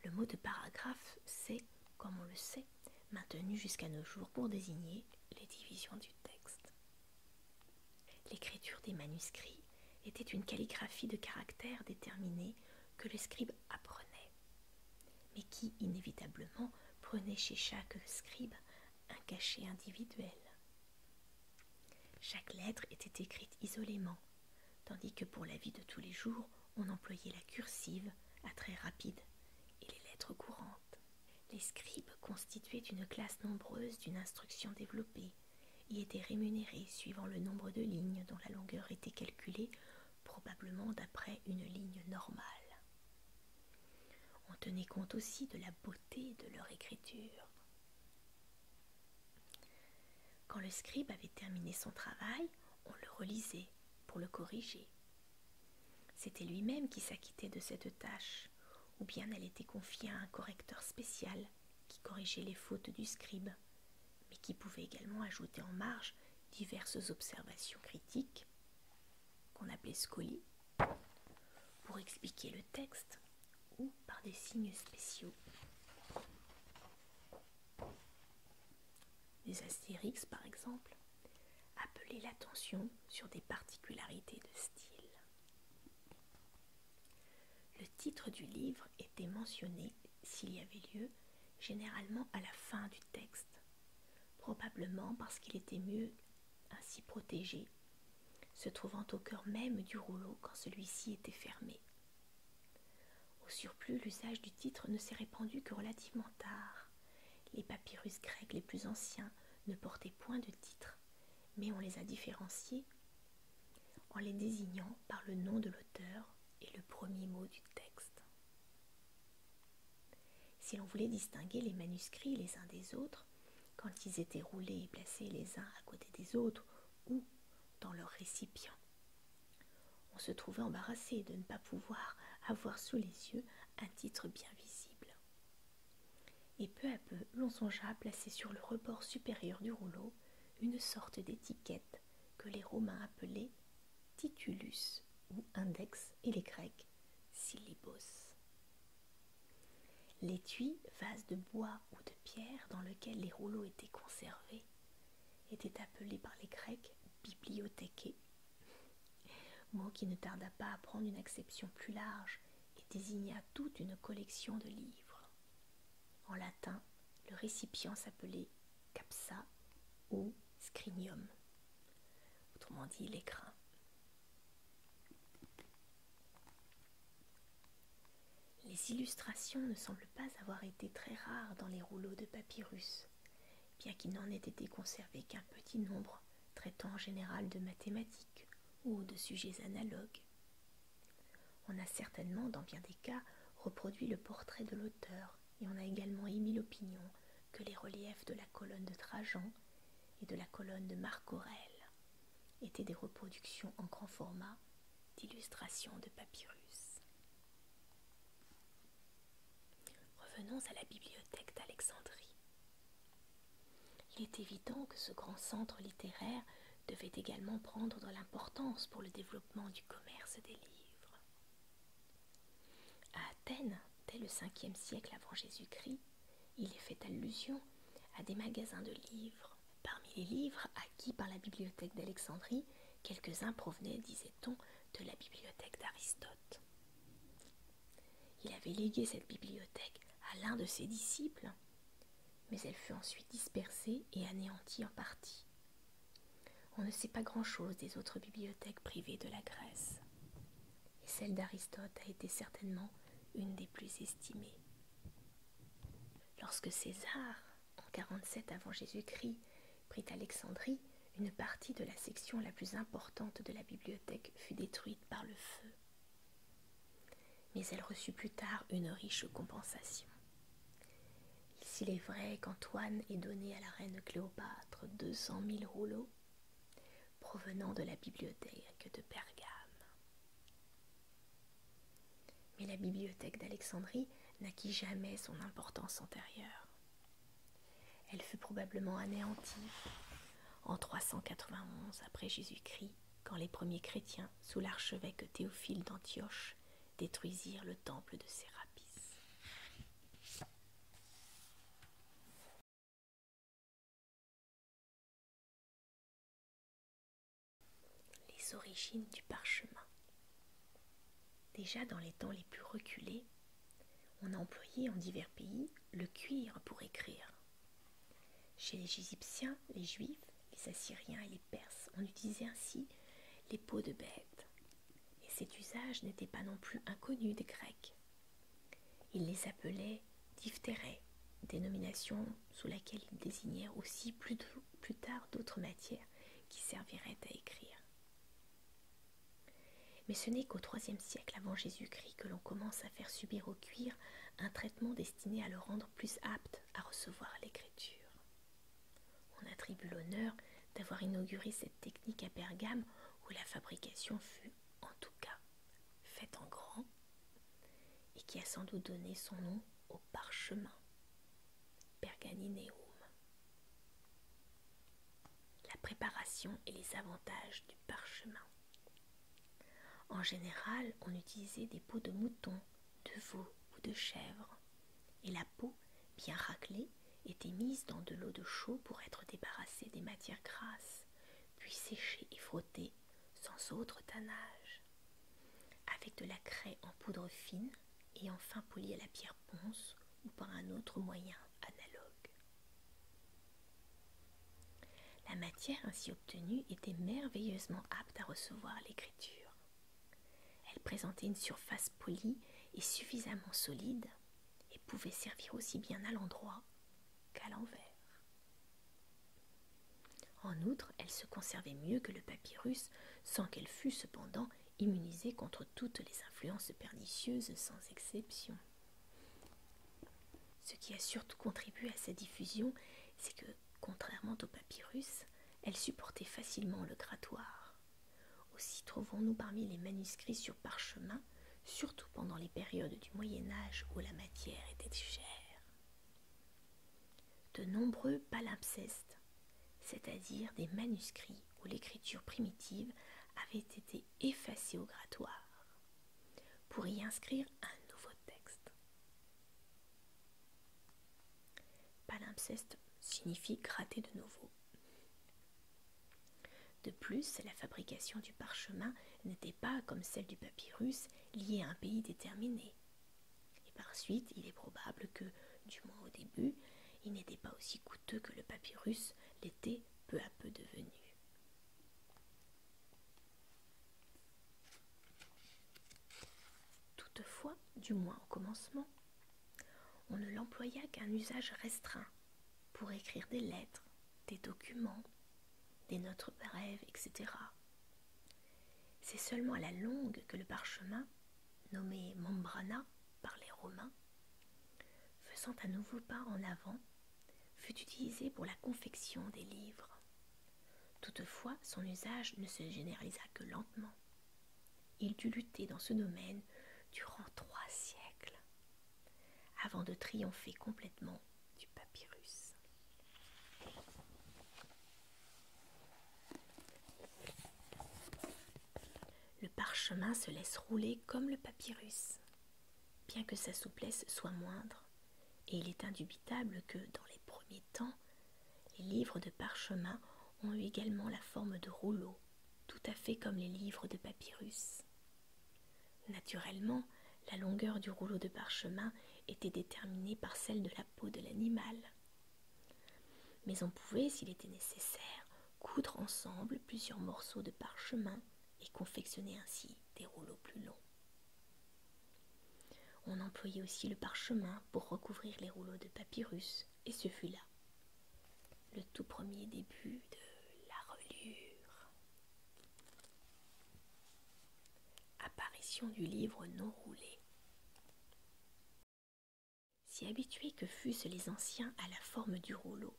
Le mot de paragraphe c'est, comme on le sait, maintenu jusqu'à nos jours pour désigner les divisions du texte. L'écriture des manuscrits était une calligraphie de caractères déterminés que le scribe apprenait, mais qui inévitablement prenait chez chaque scribe un cachet individuel. Chaque lettre était écrite isolément, tandis que pour la vie de tous les jours, on employait la cursive à très rapide, et les lettres courantes. Les scribes constituaient une classe nombreuse d'une instruction développée, y étaient rémunérés suivant le nombre de lignes dont la longueur était calculée, probablement d'après une ligne normale. On tenait compte aussi de la beauté de leur écriture. Quand le scribe avait terminé son travail, on le relisait pour le corriger. C'était lui-même qui s'acquittait de cette tâche, ou bien elle était confiée à un correcteur spécial qui corrigeait les fautes du scribe, mais qui pouvait également ajouter en marge diverses observations critiques, qu'on appelait scoli, pour expliquer le texte ou par des signes spéciaux. Des astérix, par exemple, appelaient l'attention sur des particularités de style. Le titre du livre était mentionné, s'il y avait lieu, généralement à la fin du texte, probablement parce qu'il était mieux ainsi protégé, se trouvant au cœur même du rouleau quand celui-ci était fermé. Au surplus, l'usage du titre ne s'est répandu que relativement tard. Les papyrus grecs les plus anciens ne portaient point de titre, mais on les a différenciés en les désignant par le nom de l'auteur et le premier mot du texte. Si l'on voulait distinguer les manuscrits les uns des autres, quand ils étaient roulés et placés les uns à côté des autres ou dans leur récipient, on se trouvait embarrassé de ne pas pouvoir avoir sous les yeux un titre bien visible. Et peu à peu, l'on songea à placer sur le rebord supérieur du rouleau une sorte d'étiquette que les Romains appelaient titulus ou index et les Grecs syllibos. L'étui, vase de bois ou de pierre dans lequel les rouleaux étaient conservés, était appelé par les Grecs bibliothéqué, mot qui ne tarda pas à prendre une acception plus large et désigna toute une collection de livres. En latin, le récipient s'appelait capsa ou scrinium, autrement dit l'écrin. Les illustrations ne semblent pas avoir été très rares dans les rouleaux de papyrus, bien qu'il n'en ait été conservé qu'un petit nombre traitant en général de mathématiques ou de sujets analogues. On a certainement, dans bien des cas, reproduit le portrait de l'auteur et on a également émis l'opinion que les reliefs de la colonne de Trajan et de la colonne de Marc Aurèle étaient des reproductions en grand format d'illustrations de papyrus. Revenons à la bibliothèque d'Alexandrie. Il est évident que ce grand centre littéraire devait également prendre de l'importance pour le développement du commerce des livres. À Athènes, dès le 5 siècle avant Jésus-Christ, il est fait allusion à des magasins de livres. Parmi les livres acquis par la bibliothèque d'Alexandrie, quelques-uns provenaient, disait-on, de la bibliothèque d'Aristote. Il avait légué cette bibliothèque à l'un de ses disciples, mais elle fut ensuite dispersée et anéantie en partie. On ne sait pas grand-chose des autres bibliothèques privées de la Grèce, et celle d'Aristote a été certainement une des plus estimées. Lorsque César, en 47 avant Jésus-Christ, prit Alexandrie, une partie de la section la plus importante de la bibliothèque fut détruite par le feu. Mais elle reçut plus tard une riche compensation. S'il est vrai qu'Antoine ait donné à la reine Cléopâtre deux cent rouleaux provenant de la bibliothèque de Pergame. Mais la bibliothèque d'Alexandrie n'acquit jamais son importance antérieure. Elle fut probablement anéantie en 391 après Jésus-Christ quand les premiers chrétiens, sous l'archevêque Théophile d'Antioche, détruisirent le temple de Sérapis. Les origines du parchemin. Déjà dans les temps les plus reculés, on a employé en divers pays le cuir pour écrire. Chez les Égyptiens, les Juifs, les Assyriens et les Perses en utilisaient ainsi les peaux de bêtes, et cet usage n'était pas non plus inconnu des Grecs. Ils les appelaient diphtérés, dénomination sous laquelle ils désignèrent aussi plus, plus tard d'autres matières qui serviraient à écrire. Mais ce n'est qu'au IIIe siècle avant Jésus-Christ que l'on commence à faire subir au cuir un traitement destiné à le rendre plus apte à recevoir l'écriture. On attribue l'honneur d'avoir inauguré cette technique à Bergame où la fabrication fut, en tout cas, faite en grand et qui a sans doute donné son nom au parchemin Perganineum. La préparation et les avantages du parchemin. En général, on utilisait des peaux de mouton, de veau ou de chèvre, et la peau, bien raclée, était mise dans de l'eau de chaux pour être débarrassée des matières grasses, puis séchée et frottée sans autre tannage, avec de la craie en poudre fine et enfin polie à la pierre ponce ou par un autre moyen analogue. La matière ainsi obtenue était merveilleusement apte à recevoir l'écriture, elle présentait une surface polie et suffisamment solide et pouvait servir aussi bien à l'endroit qu'à l'envers. En outre, elle se conservait mieux que le papyrus sans qu'elle fût cependant immunisée contre toutes les influences pernicieuses sans exception. Ce qui a surtout contribué à sa diffusion, c'est que contrairement au papyrus, elle supportait facilement le grattoir. Aussi trouvons-nous parmi les manuscrits sur parchemin, surtout pendant les périodes du Moyen Âge où la matière était chère. De nombreux palimpsestes, c'est-à-dire des manuscrits où l'écriture primitive avait été effacée au grattoir, pour y inscrire un nouveau texte. Palimpseste signifie gratter de nouveau. De plus, la fabrication du parchemin n'était pas, comme celle du papyrus, liée à un pays déterminé. Et par suite, il est probable que, du moins au début, il n'était pas aussi coûteux que le papyrus l'était peu à peu devenu. Toutefois, du moins au commencement, on ne l'employa qu'un usage restreint pour écrire des lettres, des documents, des notes brèves, etc. C'est seulement à la longue que le parchemin, nommé membrana par les Romains, faisant un nouveau pas en avant, fut utilisé pour la confection des livres. Toutefois, son usage ne se généralisa que lentement. Il dut lutter dans ce domaine durant trois siècles avant de triompher complètement du papyrus. Le parchemin se laisse rouler comme le papyrus, bien que sa souplesse soit moindre, et il est indubitable que, dans les premiers temps, les livres de parchemin ont eu également la forme de rouleaux, tout à fait comme les livres de papyrus. Naturellement, la longueur du rouleau de parchemin était déterminée par celle de la peau de l'animal. Mais on pouvait, s'il était nécessaire, coudre ensemble plusieurs morceaux de parchemin et confectionner ainsi des rouleaux plus longs. On employait aussi le parchemin pour recouvrir les rouleaux de papyrus, et ce fut là le tout premier début de la relure. Apparition du livre non roulé. Si habitués que fussent les anciens à la forme du rouleau,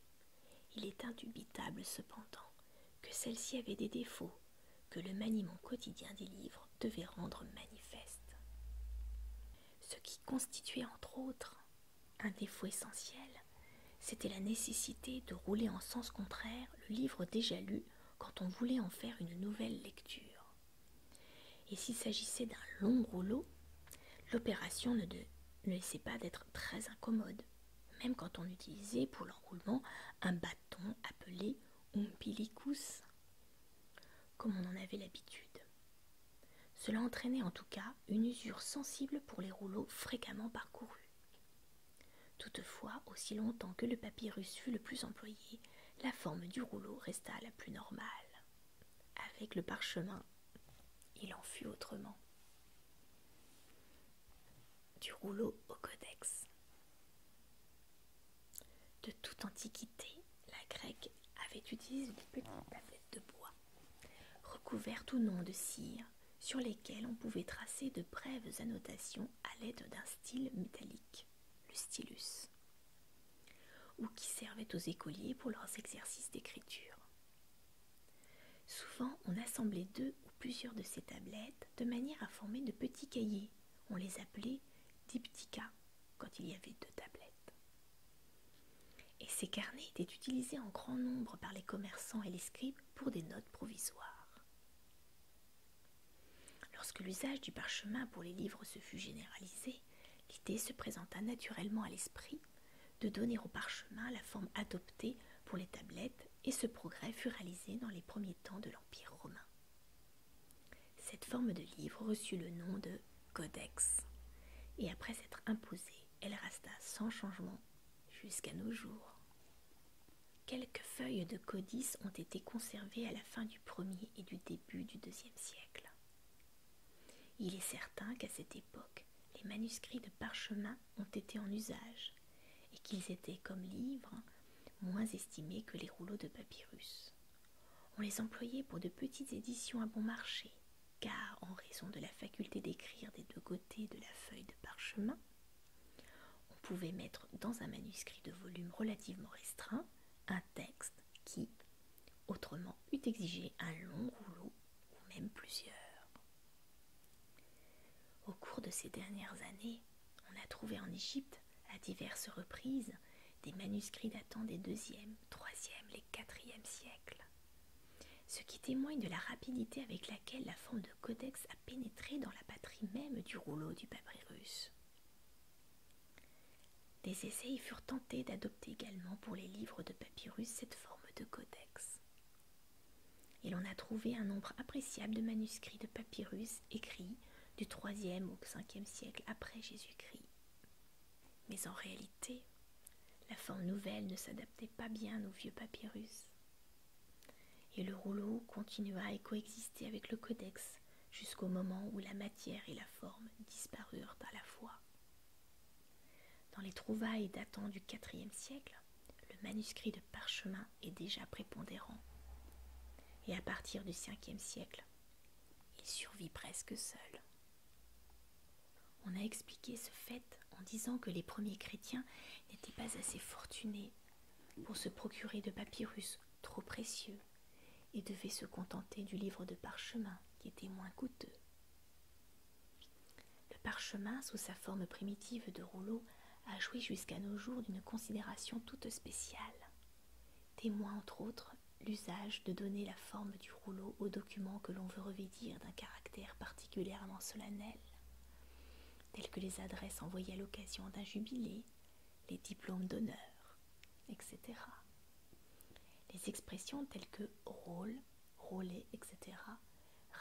il est indubitable cependant que celle-ci avait des défauts que le maniement quotidien des livres devait rendre manifeste. Ce qui constituait entre autres un défaut essentiel, c'était la nécessité de rouler en sens contraire le livre déjà lu quand on voulait en faire une nouvelle lecture. Et s'il s'agissait d'un long rouleau, l'opération ne, laissait pas d'être très incommode, même quand on utilisait pour l'enroulement un bâton appelé comme on en avait l'habitude. Cela entraînait en tout cas une usure sensible pour les rouleaux fréquemment parcourus. Toutefois, aussi longtemps que le papyrus fut le plus employé, la forme du rouleau resta la plus normale. Avec le parchemin, il en fut autrement. Du rouleau au codex. De toute antiquité, la grecque avait utilisé des petites tablettes de bois, recouvertes ou non de cire, sur lesquelles on pouvait tracer de brèves annotations à l'aide d'un style métallique, le stylus, ou qui servaient aux écoliers pour leurs exercices d'écriture. Souvent, on assemblait deux ou plusieurs de ces tablettes de manière à former de petits cahiers on les appelait diptyca quand il y avait deux tablettes. Et ces carnets étaient utilisés en grand nombre par les commerçants et les scribes pour des notes provisoires. Lorsque l'usage du parchemin pour les livres se fut généralisé, l'idée se présenta naturellement à l'esprit de donner au parchemin la forme adoptée pour les tablettes et ce progrès fut réalisé dans les premiers temps de l'Empire romain. Cette forme de livre reçut le nom de codex, et après s'être imposée, elle resta sans changement jusqu'à nos jours. Quelques feuilles de codice ont été conservées à la fin du premier et du début du deuxième siècle. Il est certain qu'à cette époque, les manuscrits de parchemin ont été en usage et qu'ils étaient, comme livres, moins estimés que les rouleaux de papyrus. On les employait pour de petites éditions à bon marché, car en raison de la faculté d'écrire des deux côtés de la feuille de parchemin, on pouvait mettre dans un manuscrit de volume relativement restreint un texte qui, autrement, eût exigé un long rouleau ou même plusieurs. Au cours de ces dernières années, on a trouvé en Égypte à diverses reprises des manuscrits datant des 2e, 3e et 4 siècles, ce qui témoigne de la rapidité avec laquelle la forme de codex a pénétré dans la patrie même du rouleau du papyrus. Des essais furent tentés d'adopter également pour les livres de papyrus cette forme de codex. Et l'on a trouvé un nombre appréciable de manuscrits de papyrus écrits du 3 au 5 siècle après Jésus-Christ. Mais en réalité, la forme nouvelle ne s'adaptait pas bien au vieux papyrus. Et le rouleau continua à coexister avec le codex jusqu'au moment où la matière et la forme disparurent à la fois. Dans les trouvailles datant du 4e siècle, le manuscrit de parchemin est déjà prépondérant. Et à partir du 5e siècle, il survit presque seul. On a expliqué ce fait en disant que les premiers chrétiens n'étaient pas assez fortunés pour se procurer de papyrus trop précieux et devaient se contenter du livre de parchemin qui était moins coûteux. Le parchemin, sous sa forme primitive de rouleau, a joui jusqu'à nos jours d'une considération toute spéciale témoins, entre autres l'usage de donner la forme du rouleau aux documents que l'on veut revêtir d'un caractère particulièrement solennel, tels que les adresses envoyées à l'occasion d'un jubilé, les diplômes d'honneur, etc. Les expressions telles que rôle, roulé, etc.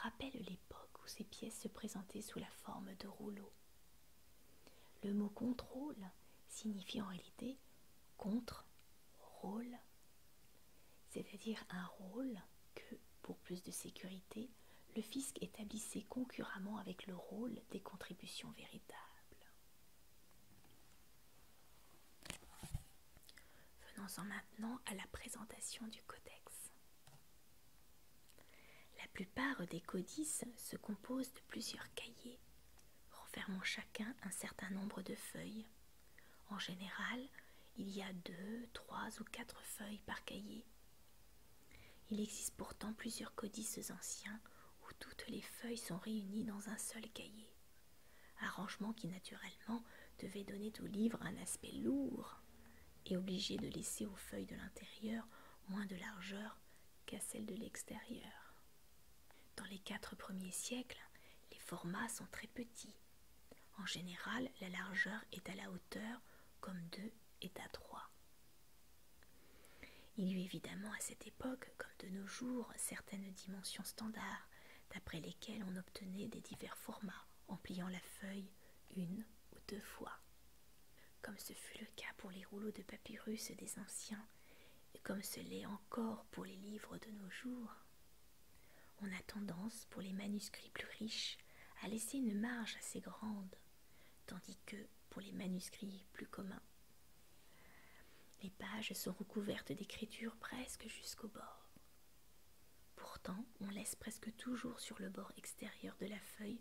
rappellent l'époque où ces pièces se présentaient sous la forme de rouleaux. Le mot contrôle signifie en réalité contre rôle, c'est-à-dire un rôle que, pour plus de sécurité, le fisc établissait concurremment avec le rôle des contributions véritables. Venons-en maintenant à la présentation du codex. La plupart des codices se composent de plusieurs cahiers renfermant chacun un certain nombre de feuilles. En général, il y a deux, trois ou quatre feuilles par cahier. Il existe pourtant plusieurs codices anciens où toutes les feuilles sont réunies dans un seul cahier, arrangement qui naturellement devait donner au livre un aspect lourd et obligé de laisser aux feuilles de l'intérieur moins de largeur qu'à celle de l'extérieur. Dans les quatre premiers siècles, les formats sont très petits. En général, la largeur est à la hauteur comme deux est à 3. Il y eut évidemment à cette époque, comme de nos jours, certaines dimensions standards, d'après lesquelles on obtenait des divers formats en pliant la feuille une ou deux fois. Comme ce fut le cas pour les rouleaux de papyrus des anciens, et comme ce l'est encore pour les livres de nos jours, on a tendance, pour les manuscrits plus riches, à laisser une marge assez grande, tandis que, pour les manuscrits plus communs, les pages sont recouvertes d'écriture presque jusqu'au bord. Pourtant, on laisse presque toujours sur le bord extérieur de la feuille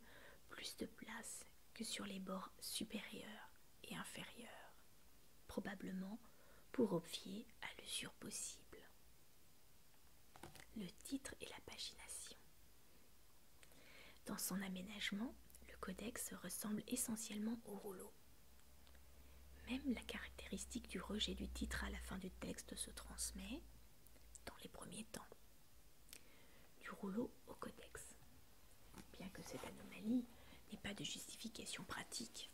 plus de place que sur les bords supérieurs et inférieurs, probablement pour obvier à l'usure possible. Le titre et la pagination. Dans son aménagement, le codex ressemble essentiellement au rouleau. Même la caractéristique du rejet du titre à la fin du texte se transmet, dans les premiers temps, du rouleau au codex. Bien que cette anomalie n'ait pas de justification pratique,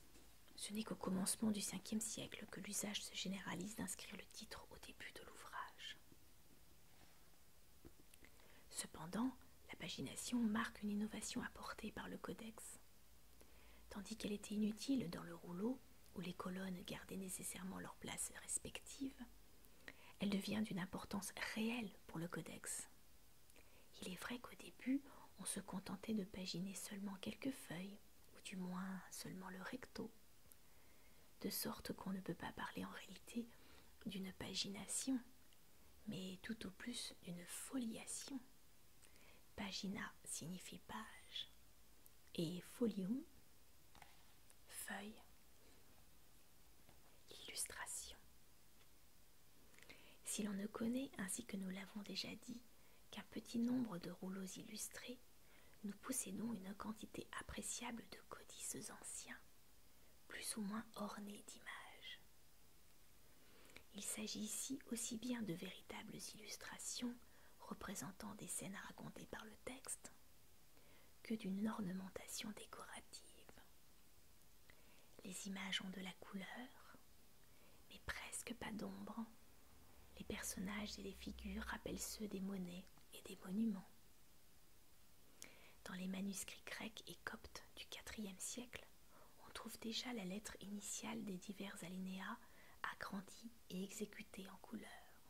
ce n'est qu'au commencement du Ve siècle que l'usage se généralise d'inscrire le titre au début de l'ouvrage. Cependant, la pagination marque une innovation apportée par le codex. Tandis qu'elle était inutile dans le rouleau, où les colonnes gardaient nécessairement leur place respectives, elle devient d'une importance réelle pour le codex. Il est vrai qu'au début, on se contentait de paginer seulement quelques feuilles, ou du moins seulement le recto, de sorte qu'on ne peut pas parler en réalité d'une pagination, mais tout au plus d'une foliation. Pagina signifie page, et folium, feuille. Illustration. Si l'on ne connaît, ainsi que nous l'avons déjà dit, qu'un petit nombre de rouleaux illustrés, nous possédons une quantité appréciable de codices anciens, plus ou moins ornés d'images. Il s'agit ici aussi bien de véritables illustrations représentant des scènes racontées par le texte que d'une ornementation décorative. Les images ont de la couleur, mais presque pas d'ombre. Les personnages et les figures rappellent ceux des monnaies et des monuments. Dans les manuscrits grecs et coptes du IVe siècle, on trouve déjà la lettre initiale des divers alinéas agrandie et exécutée en couleur,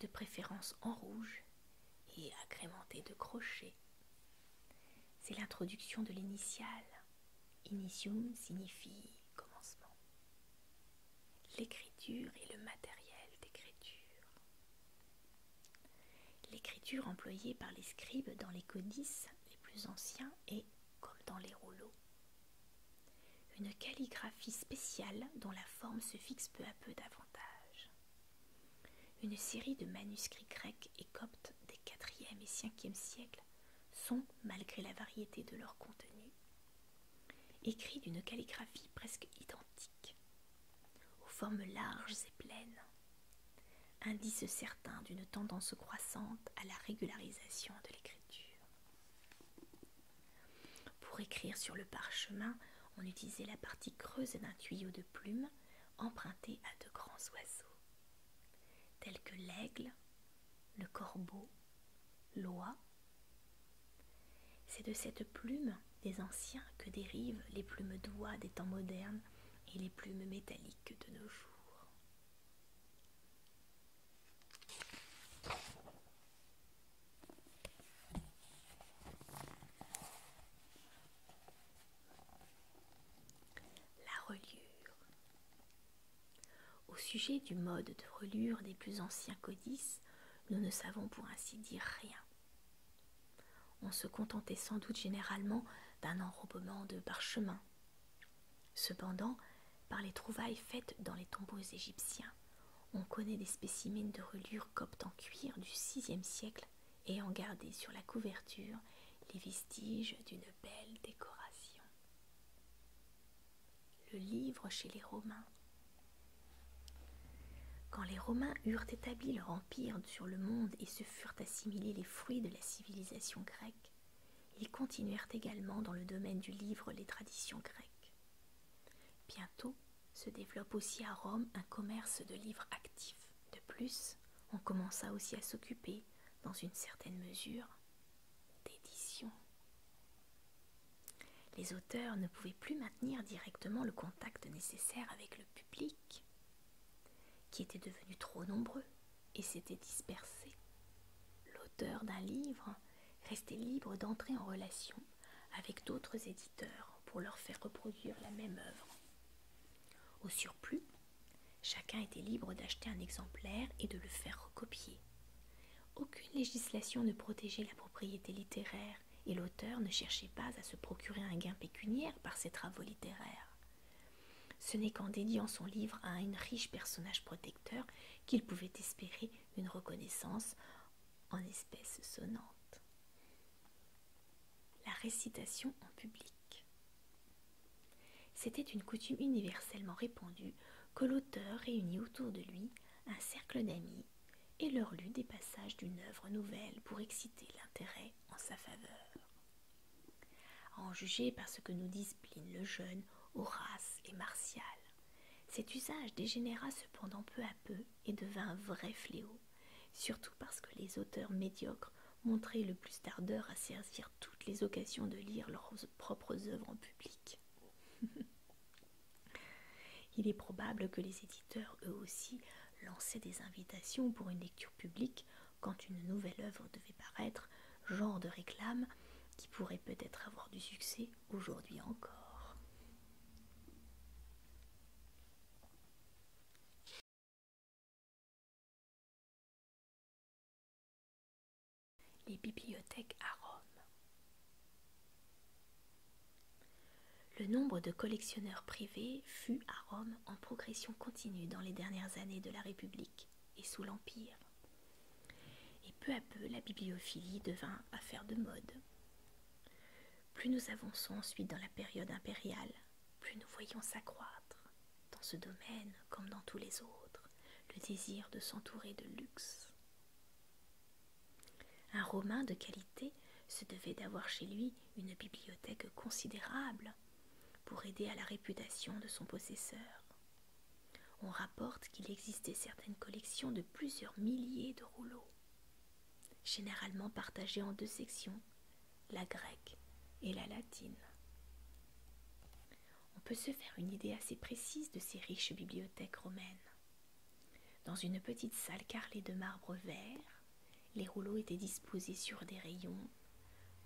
de préférence en rouge et agrémenté de crochets. C'est l'introduction de l'initiale. Initium signifie commencement. L'écriture et le matériel d'écriture. L'écriture employée par les scribes dans les codices les plus anciens est, comme dans les rouleaux, une calligraphie spéciale dont la forme se fixe peu à peu davantage. Une série de manuscrits grecs et coptes des 4 et 5e siècles sont, malgré la variété de leur contenu, écrits d'une calligraphie presque identique, aux formes larges et pleines, indice certain d'une tendance croissante à la régularisation de l'écriture. Pour écrire sur le parchemin, on utilisait la partie creuse d'un tuyau de plumes empruntées à de grands oiseaux, tels que l'aigle, le corbeau, l'oie. C'est de cette plume des anciens que dérivent les plumes d'oie des temps modernes et les plumes métalliques de nos jours. La reliure. Au sujet du mode de relure des plus anciens codices, nous ne savons pour ainsi dire rien. On se contentait sans doute généralement d'un enrobement de parchemin. Cependant, par les trouvailles faites dans les tombeaux égyptiens, on connaît des spécimens de relure coptes en cuir du VIe siècle et en garder sur la couverture les vestiges d'une belle décoration. Le livre chez les Romains. Quand les Romains eurent établi leur empire sur le monde et se furent assimilés les fruits de la civilisation grecque, ils continuèrent également dans le domaine du livre les traditions grecques. Bientôt, se développe aussi à Rome un commerce de livres actifs. De plus, on commença aussi à s'occuper, dans une certaine mesure, d'édition. Les auteurs ne pouvaient plus maintenir directement le contact nécessaire avec le public, qui était devenu trop nombreux et s'était dispersé. L'auteur d'un livre restait libre d'entrer en relation avec d'autres éditeurs pour leur faire reproduire la même œuvre. Au surplus, chacun était libre d'acheter un exemplaire et de le faire recopier. Aucune législation ne protégeait la propriété littéraire et l'auteur ne cherchait pas à se procurer un gain pécuniaire par ses travaux littéraires. Ce n'est qu'en dédiant son livre à un riche personnage protecteur qu'il pouvait espérer une reconnaissance en espèces sonnantes. La récitation en public. C'était une coutume universellement répandue que l'auteur réunit autour de lui un cercle d'amis et leur lut des passages d'une œuvre nouvelle pour exciter l'intérêt en sa faveur. en juger par ce que nous disent le Jeune, Horace et Martial, cet usage dégénéra cependant peu à peu et devint un vrai fléau surtout parce que les auteurs médiocres montraient le plus d'ardeur à servir toutes les occasions de lire leurs propres œuvres en public. Il est probable que les éditeurs, eux aussi, lançaient des invitations pour une lecture publique quand une nouvelle œuvre devait paraître, genre de réclame qui pourrait peut-être avoir du succès aujourd'hui encore. Les bibliothèques à Rome. Le nombre de collectionneurs privés fut à Rome en progression continue dans les dernières années de la République et sous l'Empire. Et peu à peu, la bibliophilie devint affaire de mode. Plus nous avançons ensuite dans la période impériale, plus nous voyons s'accroître, dans ce domaine comme dans tous les autres, le désir de s'entourer de luxe. Un Romain de qualité se devait d'avoir chez lui une bibliothèque considérable pour aider à la réputation de son possesseur. On rapporte qu'il existait certaines collections de plusieurs milliers de rouleaux, généralement partagée en deux sections, la grecque et la latine. On peut se faire une idée assez précise de ces riches bibliothèques romaines. Dans une petite salle carrelée de marbre vert, les rouleaux étaient disposés sur des rayons,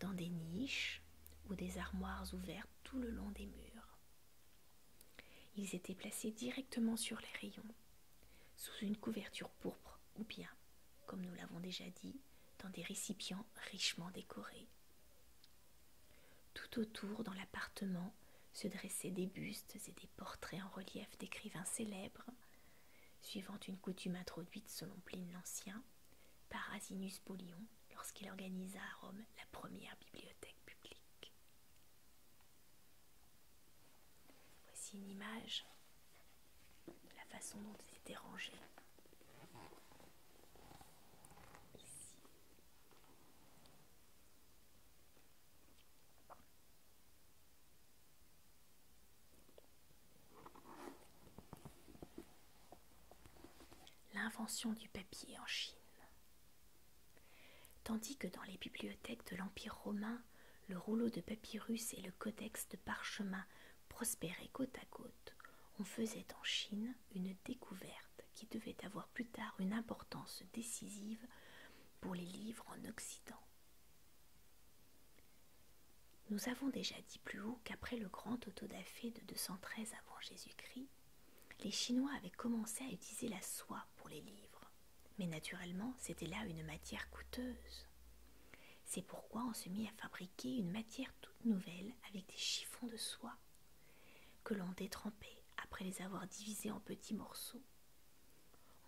dans des niches ou des armoires ouvertes tout le long des murs. Ils étaient placés directement sur les rayons sous une couverture pourpre ou bien, comme nous l'avons déjà dit, dans des récipients richement décorés. Tout autour, dans l'appartement, se dressaient des bustes et des portraits en relief d'écrivains célèbres, suivant une coutume introduite selon Pline l'Ancien par Asinus polion lorsqu'il organisa à Rome la première bibliothèque publique. Voici une image la façon dont il étaient rangé. L'invention du papier en Chine. Tandis que dans les bibliothèques de l'Empire romain, le rouleau de papyrus et le codex de parchemin prospéraient côte à côte, on faisait en Chine une découverte qui devait avoir plus tard une importance décisive pour les livres en Occident. Nous avons déjà dit plus haut qu'après le grand autodafé de 213 avant Jésus-Christ, les Chinois avaient commencé à utiliser la soie pour les livres. Mais naturellement, c'était là une matière coûteuse. C'est pourquoi on se mit à fabriquer une matière toute nouvelle avec des chiffons de soie que l'on détrempait après les avoir divisés en petits morceaux.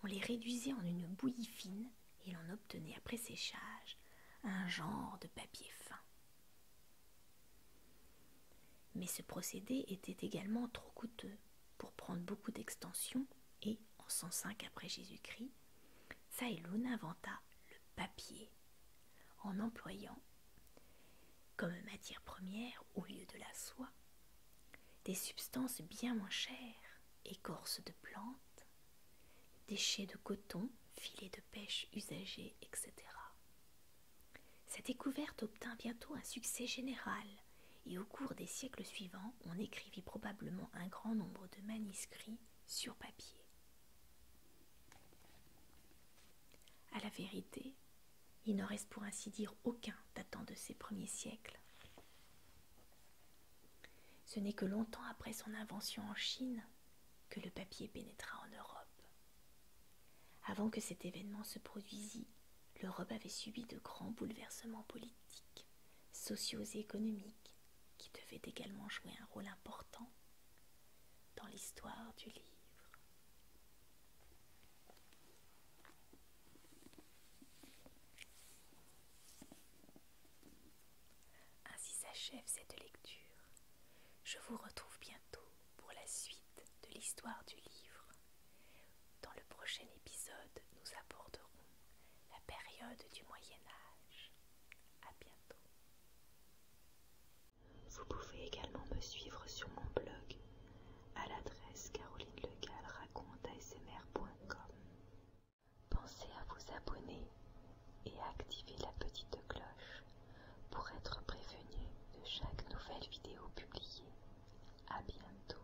On les réduisait en une bouillie fine et l'on obtenait après séchage un genre de papier fin. Mais ce procédé était également trop coûteux pour prendre beaucoup d'extensions, et en 105 après Jésus-Christ, Saïloun inventa le papier en employant comme matière première au lieu de la soie des substances bien moins chères, écorces de plantes, déchets de coton, filets de pêche usagés, etc. Cette découverte obtint bientôt un succès général et au cours des siècles suivants, on écrivit probablement un grand nombre de manuscrits sur papier. A la vérité, il n'en reste pour ainsi dire aucun datant de ces premiers siècles. Ce n'est que longtemps après son invention en Chine que le papier pénétra en Europe. Avant que cet événement se produisît, l'Europe avait subi de grands bouleversements politiques, et économiques qui devaient également jouer un rôle important dans l'histoire du livre. Ainsi s'achève cette lecture. Je vous retrouve bientôt pour la suite de l'histoire du livre. Dans le prochain épisode, nous aborderons la période du Moyen Âge. À bientôt. Vous pouvez également me suivre sur mon blog à l'adresse carolinelegalraconte.asmr.com. Pensez à vous abonner et à activer la petite cloche pour être prévenu de chaque nouvelle vidéo publiée. À bientôt.